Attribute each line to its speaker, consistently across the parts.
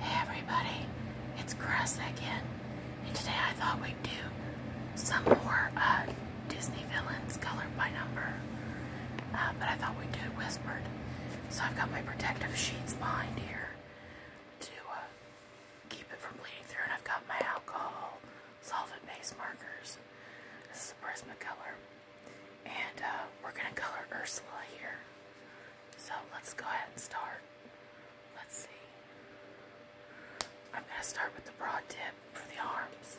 Speaker 1: Hey everybody, it's Chris again, and today I thought we'd do some more uh, Disney villains colored by number, uh, but I thought we'd do it whispered. So I've got my protective sheets behind here to uh, keep it from bleeding through, and I've got my alcohol solvent base markers. This is a color. And uh, we're going to color Ursula here. So let's go ahead and start. Let's see. I'm going to start with the broad tip for the arms.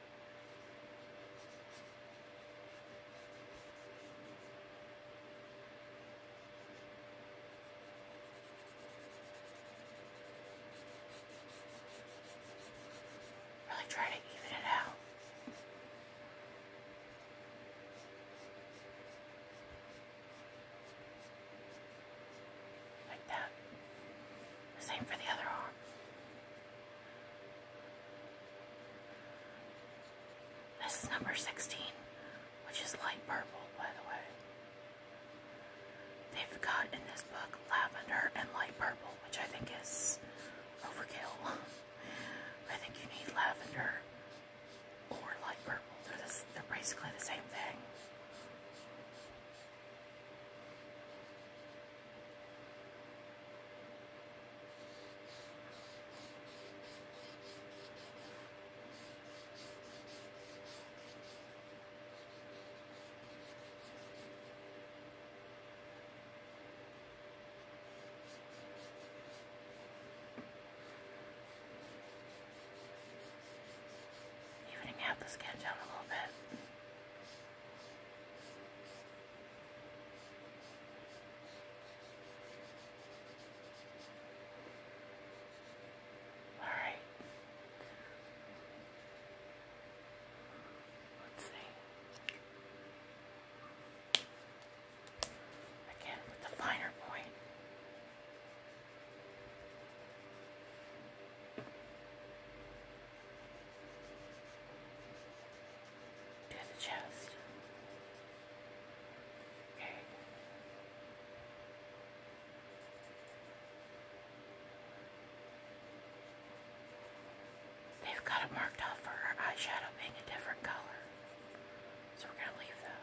Speaker 2: Really try to even it out.
Speaker 1: Like that. Same for the other arm. This is number 16, which is light purple, by the way. They've got in this book lavender and light purple, which I think is overkill. I think you need lavender or light purple. They're, they're basically the same thing.
Speaker 2: Evening out the sketch a little bit.
Speaker 1: All right. Let's see. Again with the finer point to the chest. Okay. They've got it marked off for her eyeshadow being a different color. So we're going to leave that.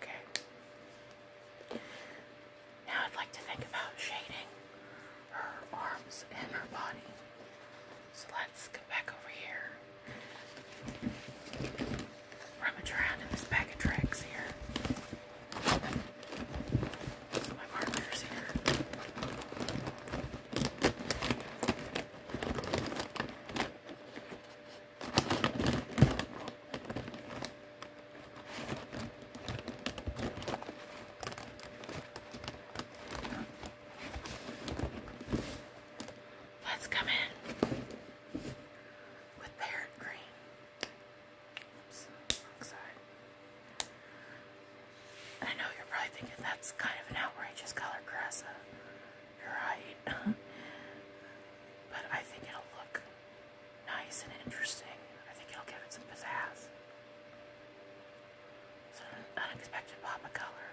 Speaker 1: Okay. Now I'd like to think about shading her arms and her body. So let's go back over here. Rummage around in this bag of tracks here. My markers here. Let's come in with parrot green. Oops, wrong side. I know you're probably thinking that's kind of an outrageous color, Grassa. Uh, you're right. but I think it'll look nice and interesting. I think it'll give it some pizzazz. It's an unexpected pop of color.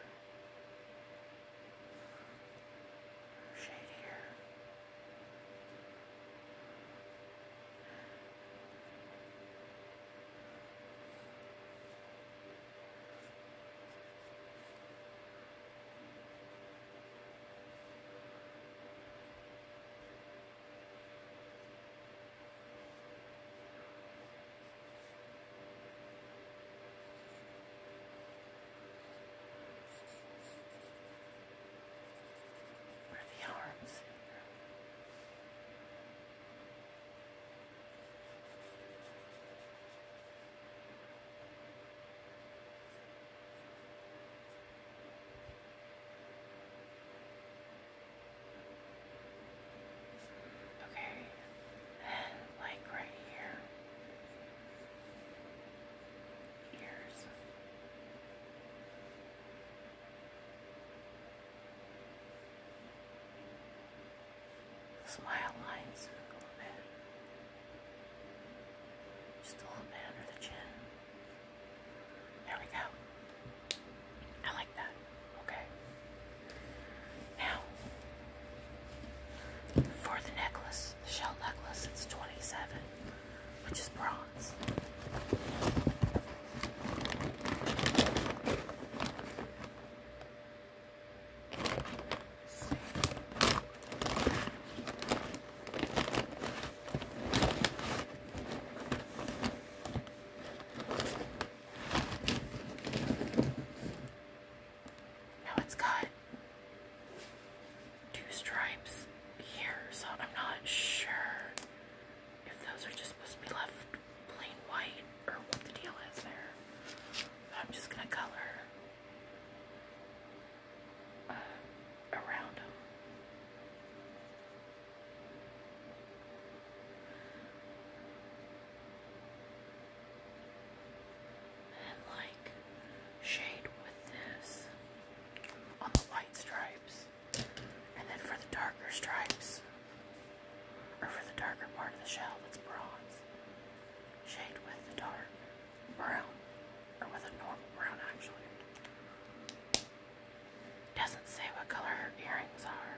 Speaker 1: Shade here. Where are the arms? Okay, like right here, here's smile lines a little bit, just a little bit under the chin. There we go. I like that. Okay. Now, for the necklace, the shell necklace, it's 27, which is bronze. Now it's got two stripes here, so I'm not sure if those are just supposed to be left plain white or what the deal is there. I'm just gonna color uh, around them. And like shade with this on the white stripes. And then for the darker stripes, or for the darker part of the shell that's bronze, shade with the dark brown, or with a normal brown actually. Doesn't say what color her earrings are.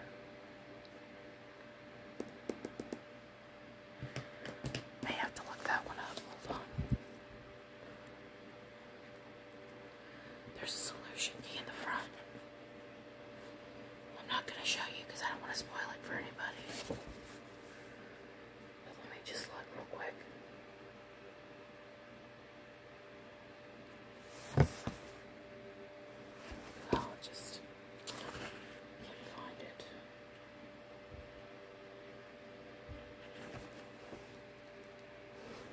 Speaker 1: May have to look that one up. Hold on. There's a solution in the front. I'm not going to show you because I don't want to spoil it for anybody. let me just look real quick. Oh, just find it.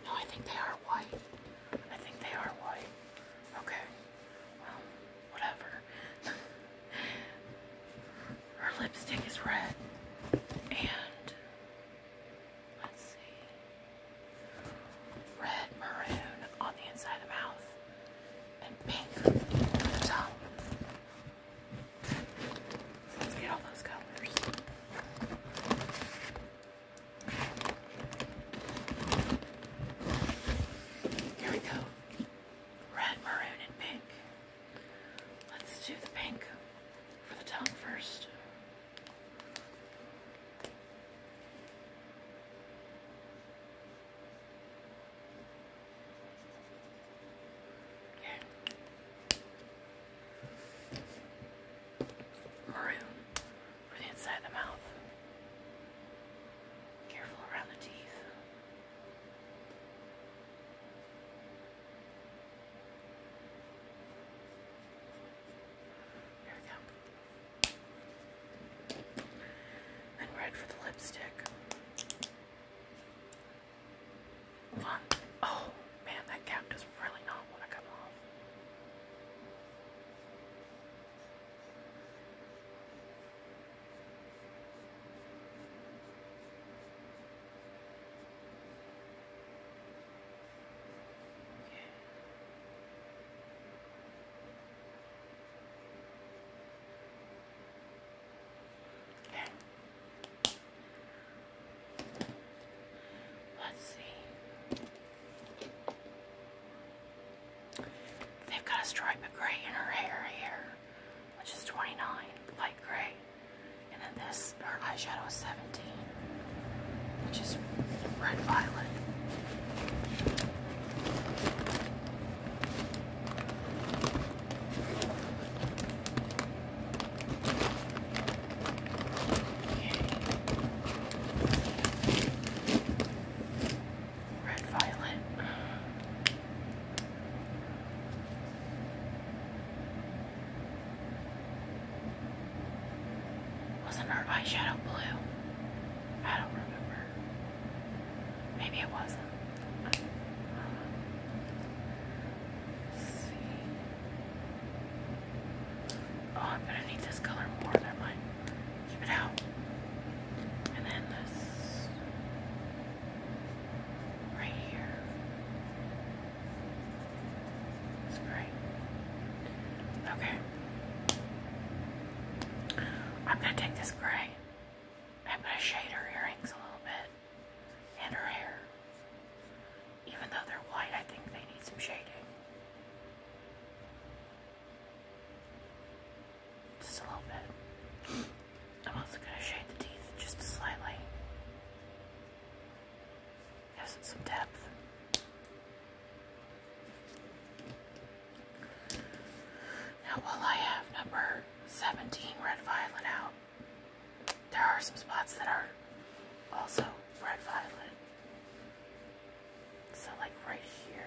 Speaker 1: No, I think they are white. I think they are white. Okay. Well, whatever. Her lipstick is red. And let's see red maroon on the inside of the mouth, and pink on the top. let's get all those colors. Here we go. Red, maroon, and pink. Let's do the pink for the top first. Yeah. Maroon for the inside of the mouth. Careful around the teeth. There we go. And red for the lipstick. Hold on. Oh, man, that cap does really not want to come off. Then let's see. They've got a stripe of gray in her hair here, which is 29, light gray. And then this, her eyeshadow is 17 which is red violet. Red violet. Wasn't her eyeshadow blue? I don't remember. Maybe it wasn't. let's see. Oh, I'm gonna need this color more. Never mind. Keep it out. And then this right here. It's great. Okay. I'm going to take this gray. I'm going to shade her earrings a little bit and her hair. Even though they're white, I think they need some shading. Just a little bit. I'm also going to shade the teeth just slightly. Gives some depth. Now, while I have number 17 red violet out, there are some spots that are also red violet. So, like right here.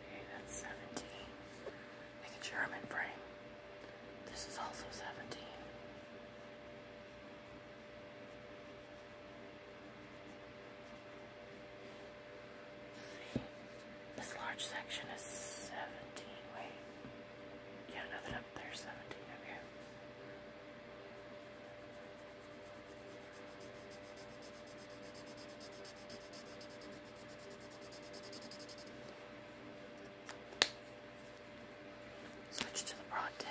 Speaker 1: Okay, that's 17. Make a German frame. This is also 17. this large section is 17. Wait, yeah, nothing up there 17. Okay. Switch to the broad tip.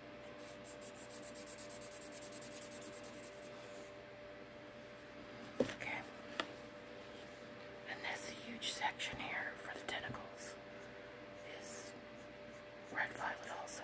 Speaker 1: Okay. And this huge section here for the tentacles is red violet also.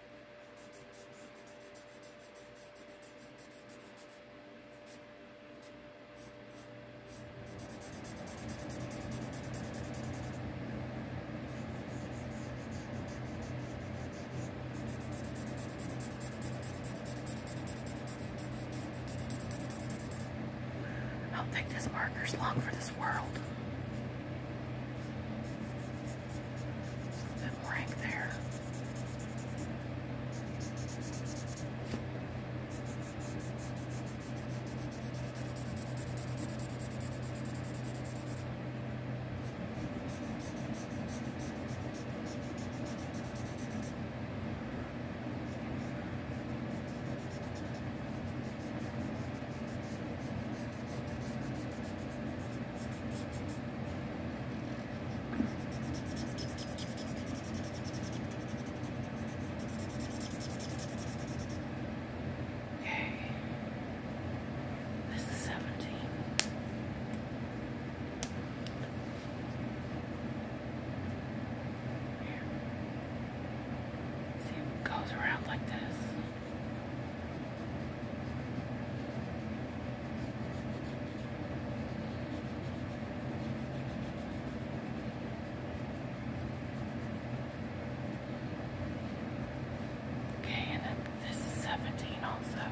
Speaker 1: I don't think this marker's long for this world them right there. Okay. This is 17. Here. See if it goes around like this. Okay, and then this is 17 also.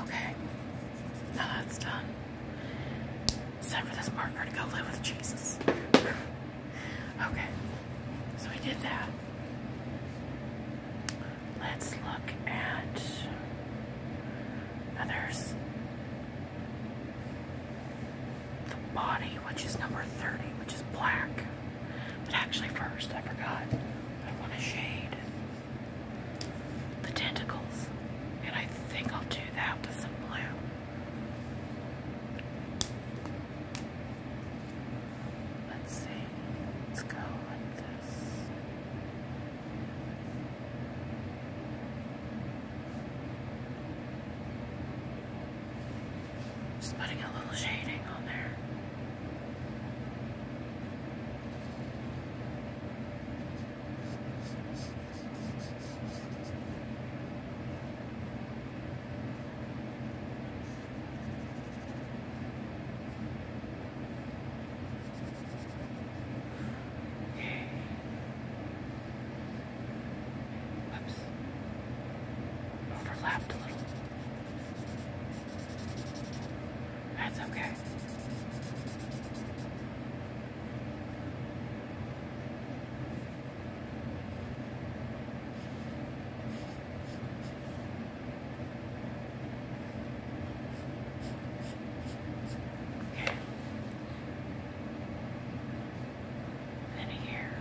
Speaker 1: Okay, now that's done. It's time for this marker to go live with Jesus. okay, so we did that. Let's look at others the body, which is number 30, which is black. But actually, first, I forgot. I want to shade the tentacles. And I think I'll do that with some blue.
Speaker 2: Let's see. Let's go like this.
Speaker 1: Just putting a little shading on there. Whoops. Overlapped a little. That's okay. Okay than there,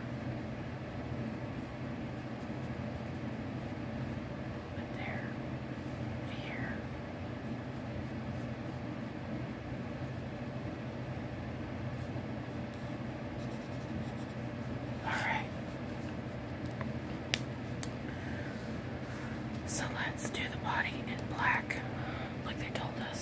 Speaker 1: a All right. So let's do the body in black, like they told us.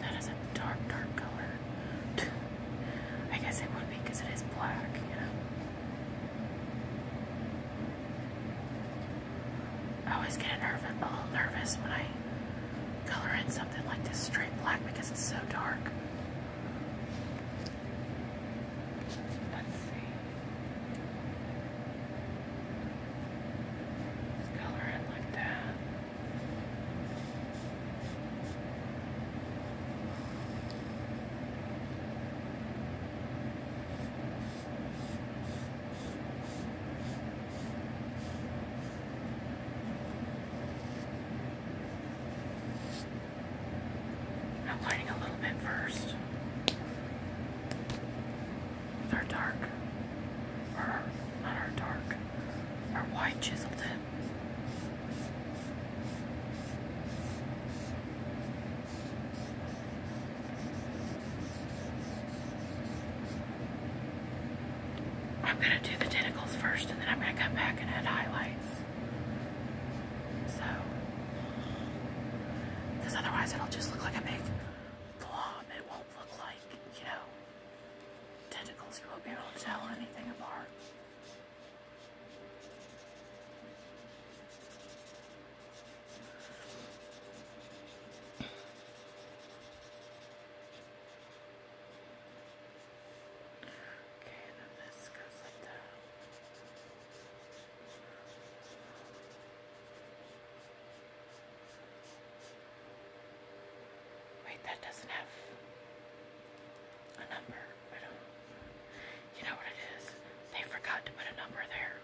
Speaker 1: that is a dark, dark color. I guess it would be because it is black, you know. I always get a little nervous when I color in something like this straight black because it's so dark. Let's see. Let's color it like that. I'm lighting a little bit first. They're dark. not dark. Our white chiseled it. I'm gonna do the tentacles first and then I'm gonna come back and add highlights. So, because otherwise it'll just look like a big blob. It won't look like, you know, tentacles. You won't be able to tell anything apart. Okay, and then this goes like that. Wait, that doesn't have a number. I don't. You know what it is? They forgot to put a number there.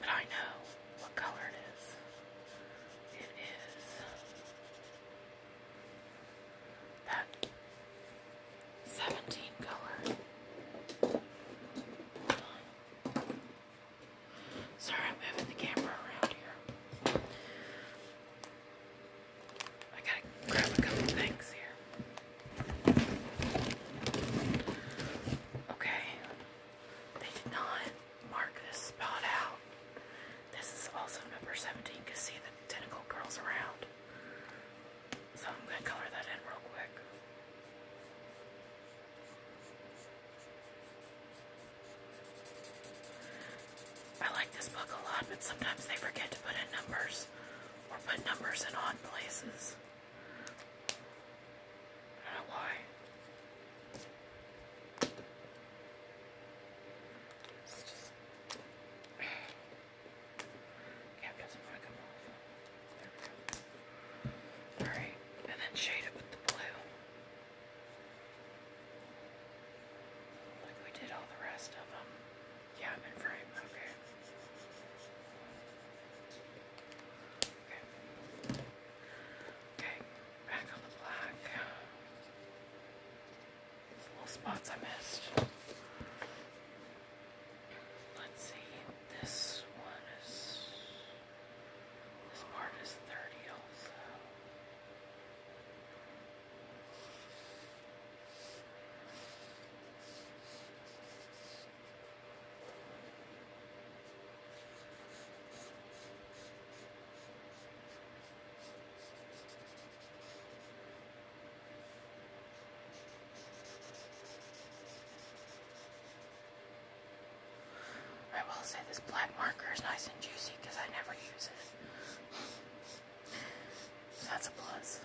Speaker 1: But I know what color it is. It is that 17 color. Sorry, I'm moving the camera around here. I gotta grab a couple things here. Okay, they did not mark this spot out. This is also number 17, because see the tentacle curls around. So I'm going to color that in real quick. I like this book a lot, but sometimes they forget to put in numbers or put numbers in odd places. I don't know why. It's just Cap doesn't want to come off. Alright, and then shade it with the blue. Like we did all the rest of them. Yeah, I'm in frame. Okay. Okay. Okay, back on the black. These little spots I missed. Let's see. This one is. This part is 30 also. I will say this black marker is nice and juicy because I never use it. that's a plus.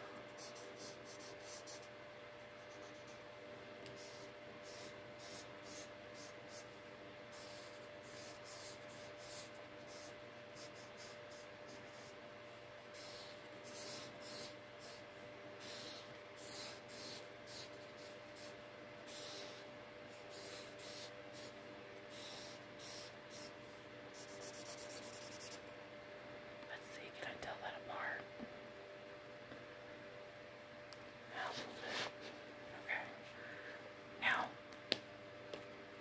Speaker 1: Let's see, can I tell that apart? A Okay. Now,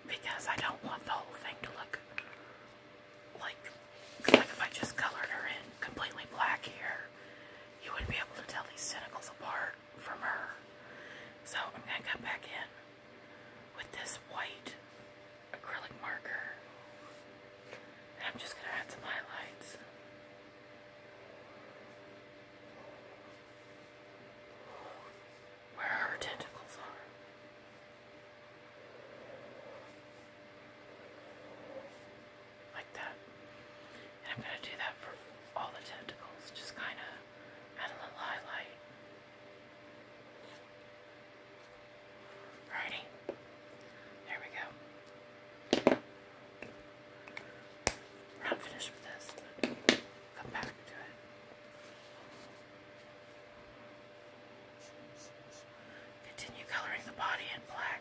Speaker 1: because I don't want the whole thing to look like, like if I just colored her in completely black here, you wouldn't be able to tell these tentacles apart from her. So I'm going to come back in with this white acrylic marker. And I'm just going to add some highlights. Where her tentacles are. Like that. I'm going to do that for all the tentacles. Just kind of add a little highlight. Alrighty. There we go. We're not finished with this, come back to it. Continue coloring the body in black.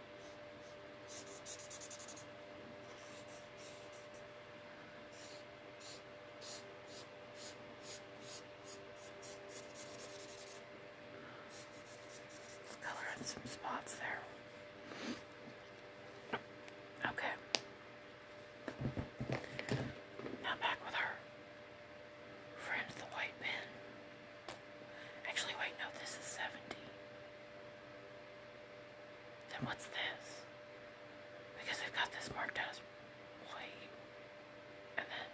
Speaker 1: color in some spots
Speaker 2: there. Okay.
Speaker 1: Now back with our friend the white pen. Actually, wait, no, this is 70. Then what's this? Because they've got this marked as white. And then.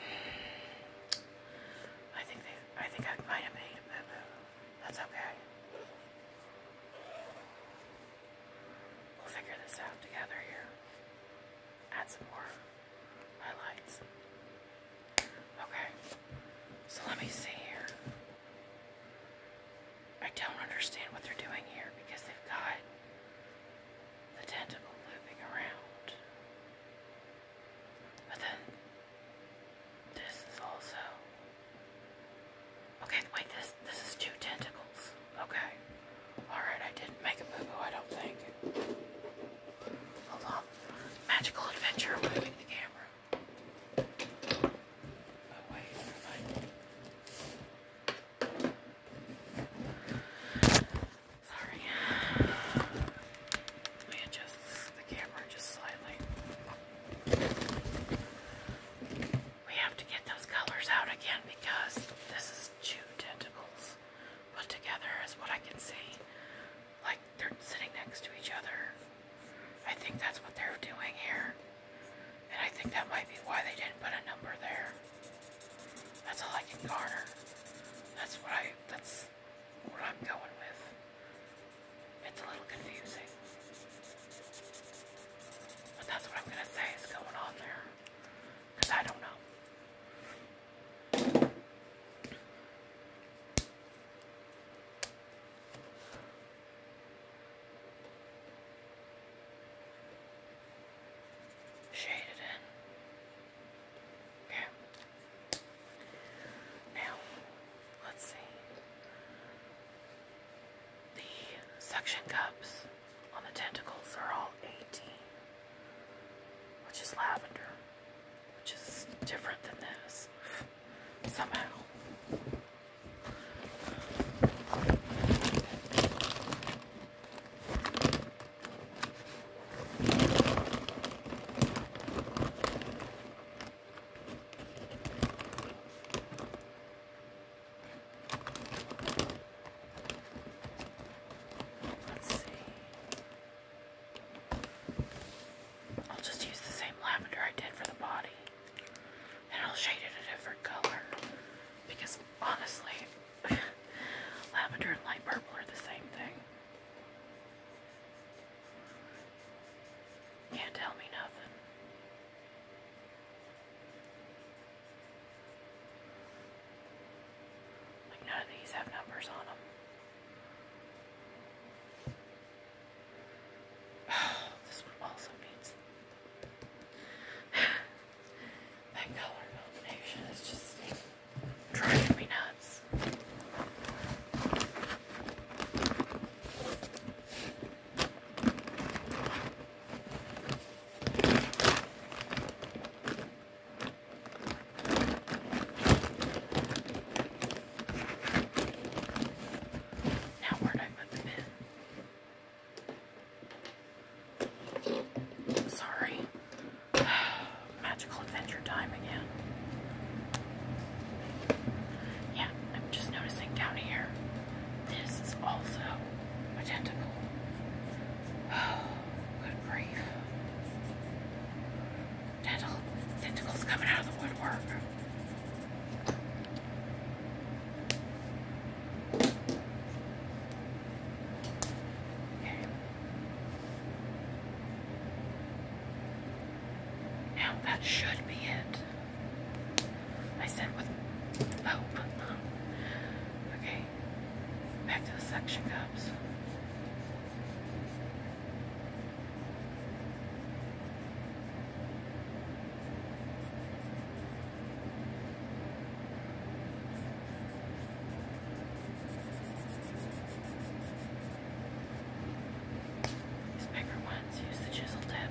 Speaker 1: I think I think I might have made a boo boo. That's okay. We'll figure this out together here. Add some more highlights. Okay. So let me see here. I don't understand what they're doing here because they've got the tentacle looping around. But then this is also Okay, wait, this this is two tentacles. Okay. Alright, I didn't make a boo-boo, I don't think. Hold on. Magical adventure moving the camera. We have to get those colors out again because this is two tentacles put together is what I can see like they're sitting next to each other. I think that's what they're doing here. And I think that might be why they didn't put a number there. That's all I can garner. That's what I that's what I'm going with. It's a little confusing. But that's what I'm gonna say is going on there. I don't know. Shade in. Okay. Now, let's see. The suction cups on the tentacles are all 18, which is lavender which is different than this somehow. Let's see. I'll just use the same lavender I did for the body. And I'll shade it a different color. Because honestly, lavender and light purple are the same thing. Can't tell me nothing. Like none of these have numbers on them. Oh, this one also needs that color combination is just driving me nuts. Now where'd I put the bin? Sorry. Magical adventure time again. Yeah, I'm just noticing down here, this is also identical. Oh, good grief tentacle, tentacles coming out of the woodwork. Okay. Now that should be it. I said with hope. Okay, back to the suction cups. These bigger ones use the chisel tip.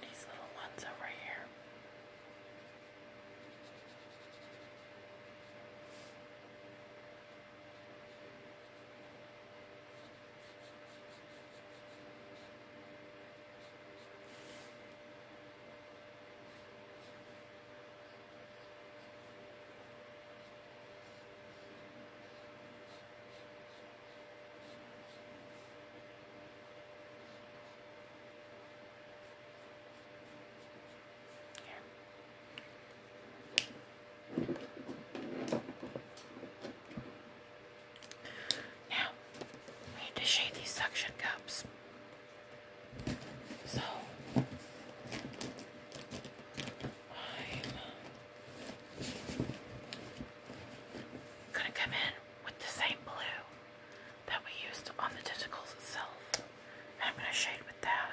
Speaker 1: These little ones over here. Here. Now, we need to shade these suction cups. So I'm gonna come in with the same blue that we used on the tentacles itself. And I'm gonna shade with that.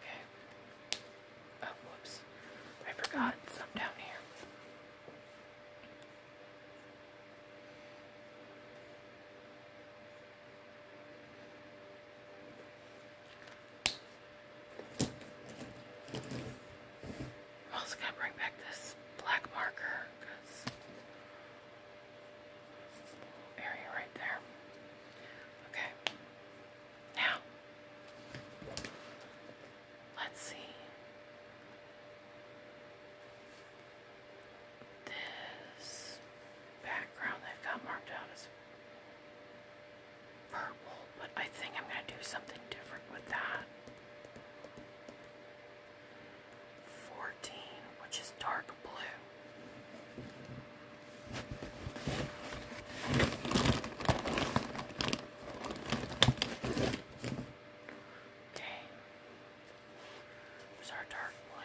Speaker 1: Okay. Oh, whoops. I forgot some down here. I'm also gonna bring back this black marker because area right there. Okay. Now
Speaker 2: let's see. This
Speaker 1: background they've got marked out as purple, but I think I'm going to do something different with that. 14, which is dark blue. Okay, there's our dark blue.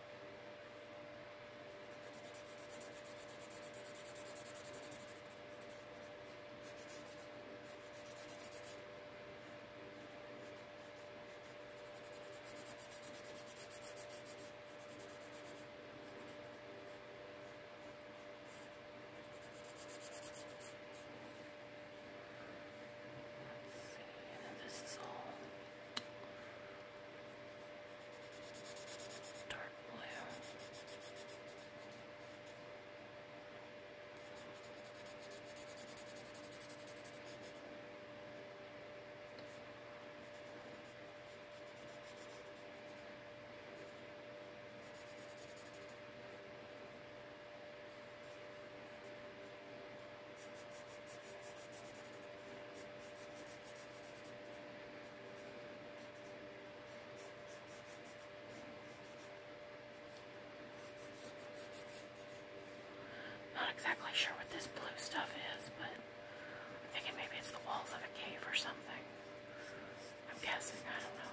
Speaker 2: Let's see, and this is all dark blue.
Speaker 1: Not exactly sure what this blue stuff is, but I'm thinking maybe it's the walls of a cave or something. I'm guessing, I don't know.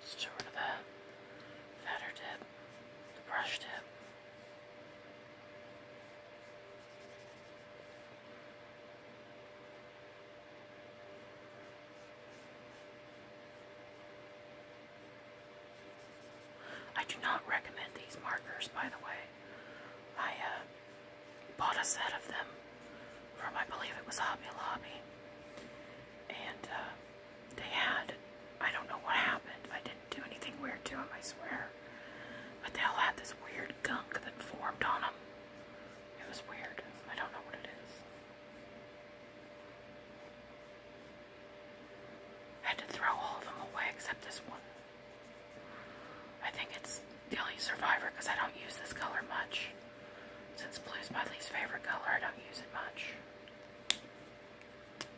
Speaker 1: Let's get rid of that. Fatter tip. The brush tip. I do not recommend these markers, by the way. I uh, bought a set of them from, I believe it was Hobby Lobby, and uh, they had, I don't know what happened, I didn't do anything weird to them, I swear, but they all had this weird gunk that formed on them. It was weird. I don't know what it is. had to throw all of them away except this one. I think it's the only survivor because I don't use this color much. Since blue's my least favorite color, I don't use it much.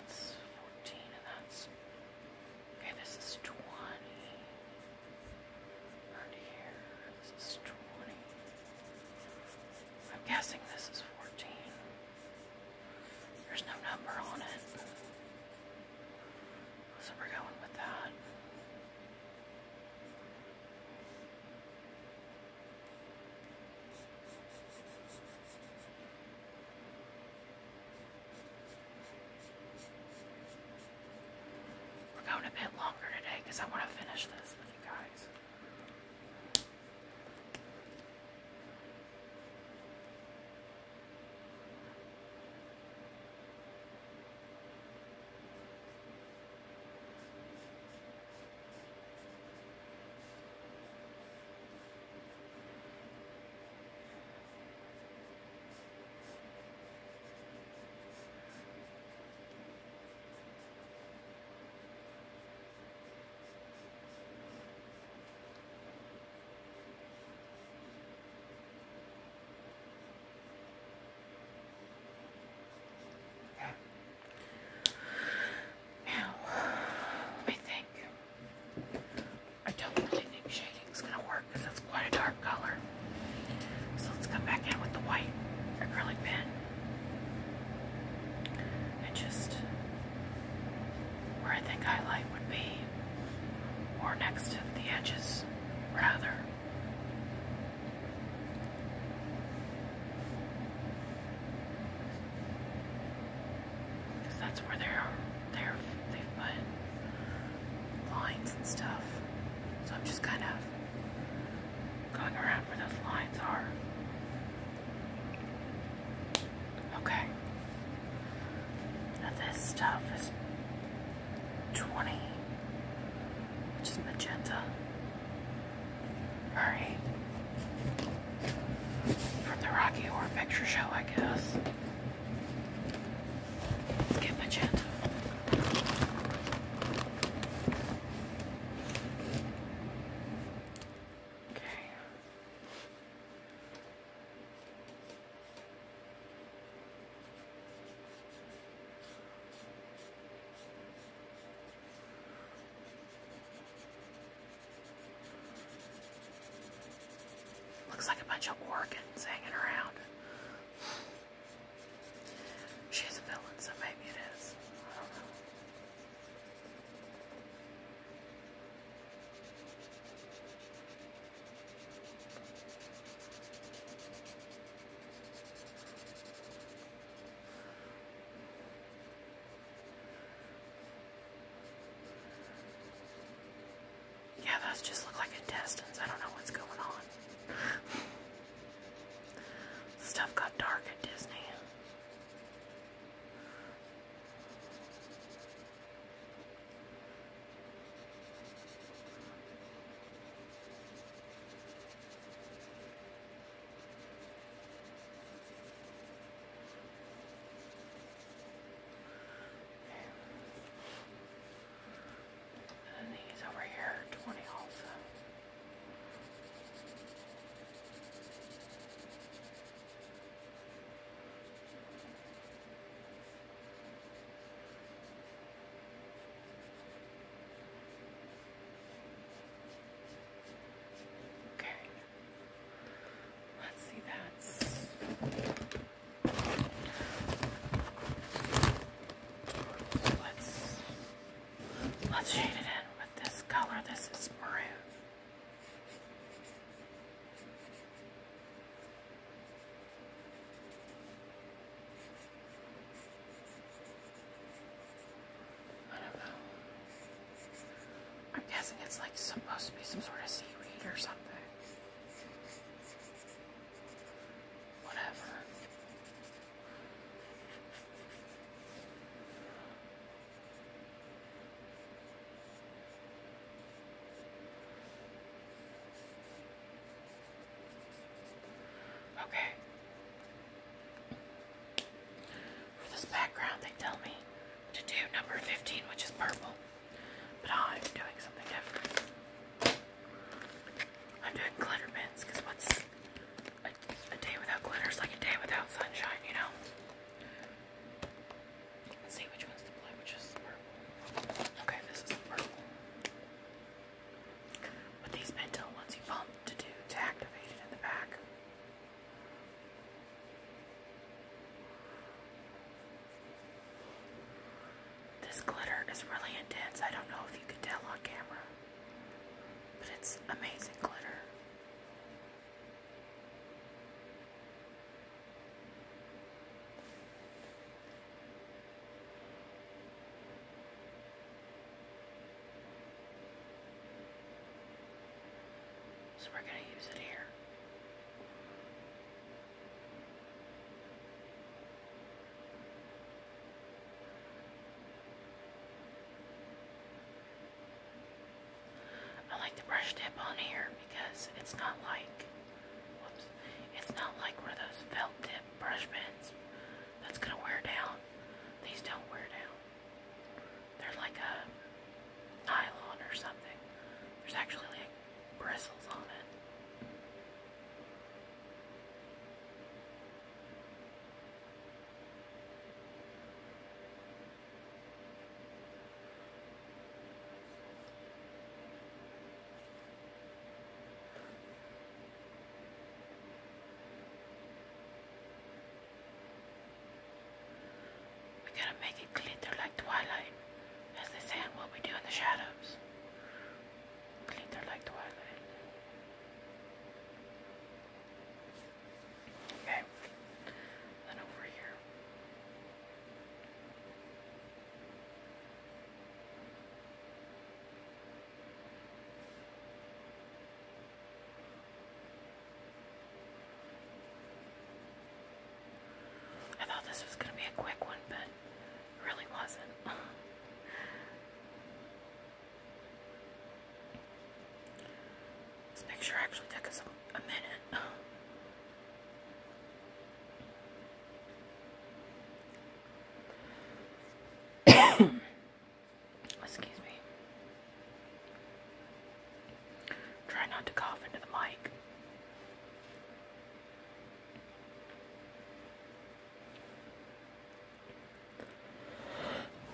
Speaker 1: That's fourteen and that's okay, this is twenty right here. This is 20. I'm guessing this is 14. There's no number on it. So we're going with that. We're going a bit longer today because I want to finish this with you guys. Now, I think I don't really need shade. It's gonna work because it's quite a dark color. So let's come back in with the white acrylic pen and just where I think highlight would be, or next to the edges, rather. Because that's where they're, they they've put lines and stuff. So I'm just kind of going around where those lines are. Okay. this stuff is 20, which is magenta. Alright. From the Rocky Horror Picture Show, I guess. Let's get my chat. Okay. Looks like a bunch of organs hanging around. She's a villain, so maybe it is. I don't know. Yeah, those just look like intestines. I don't know what's going on. Stuff got dark at Disney. And these over here 20 also. Okay. Let's see that's let's let's shade it in with this color. This is maroon.
Speaker 2: I don't know. I'm guessing it's like supposed to be some sort of seaweed or something
Speaker 1: whatever. Okay. For this background, they tell me to do number 15, which is purple. But oh, I'm doing something different. I'm doing glitter pens because what's a, day without glitter is like a day without sunshine, you know? Let's see which one's the blue, which is purple. Okay, this is purple. But these mental ones you pump to do to activate it in the back. This glitter is really intense. I don't know if you can tell on camera, but it's amazing glitter. So we're going to use it here. I like the brush tip on here because it's not like whoops, it's not like one those felt tip brush pens that's gonna wear down. These don't wear down. They're like a nylon or something. There's actually like bristles on it. We gotta make it glitter like twilight. That's the sand what we do in the shadows. Glitter like twilight. Okay, then over here. I thought this was going to be a quick one, but really wasn't. this picture actually took us a, a minute. Excuse me. Try not to cough into the mic.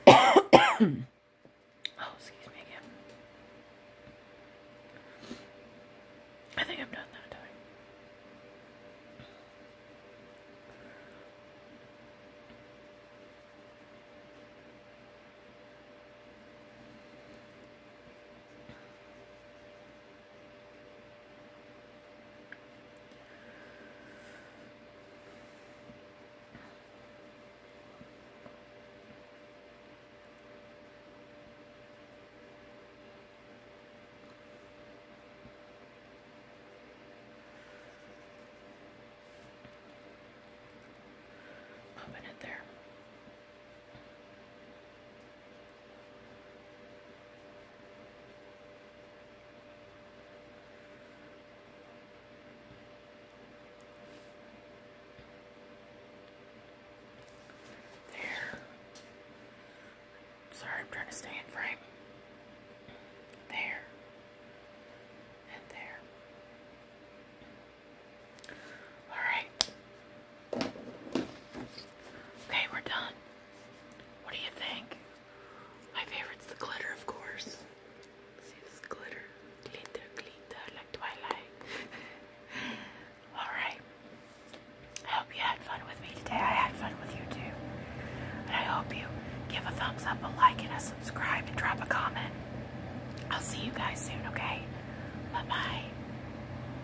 Speaker 1: oh, excuse me I think I'm done Open it there. There. Sorry, I'm trying to stay in frame. There. And there. Alright. Okay, we're done. What do you think? My favorite's the glitter, of course. See glitter? Glitter, glitter, like Twilight. Alright. I hope you had fun with me today. I had fun with you too. And I hope you give a thumbs up, a like, and a subscribe, and drop a comment. I'll see you guys soon, okay? Bye bye.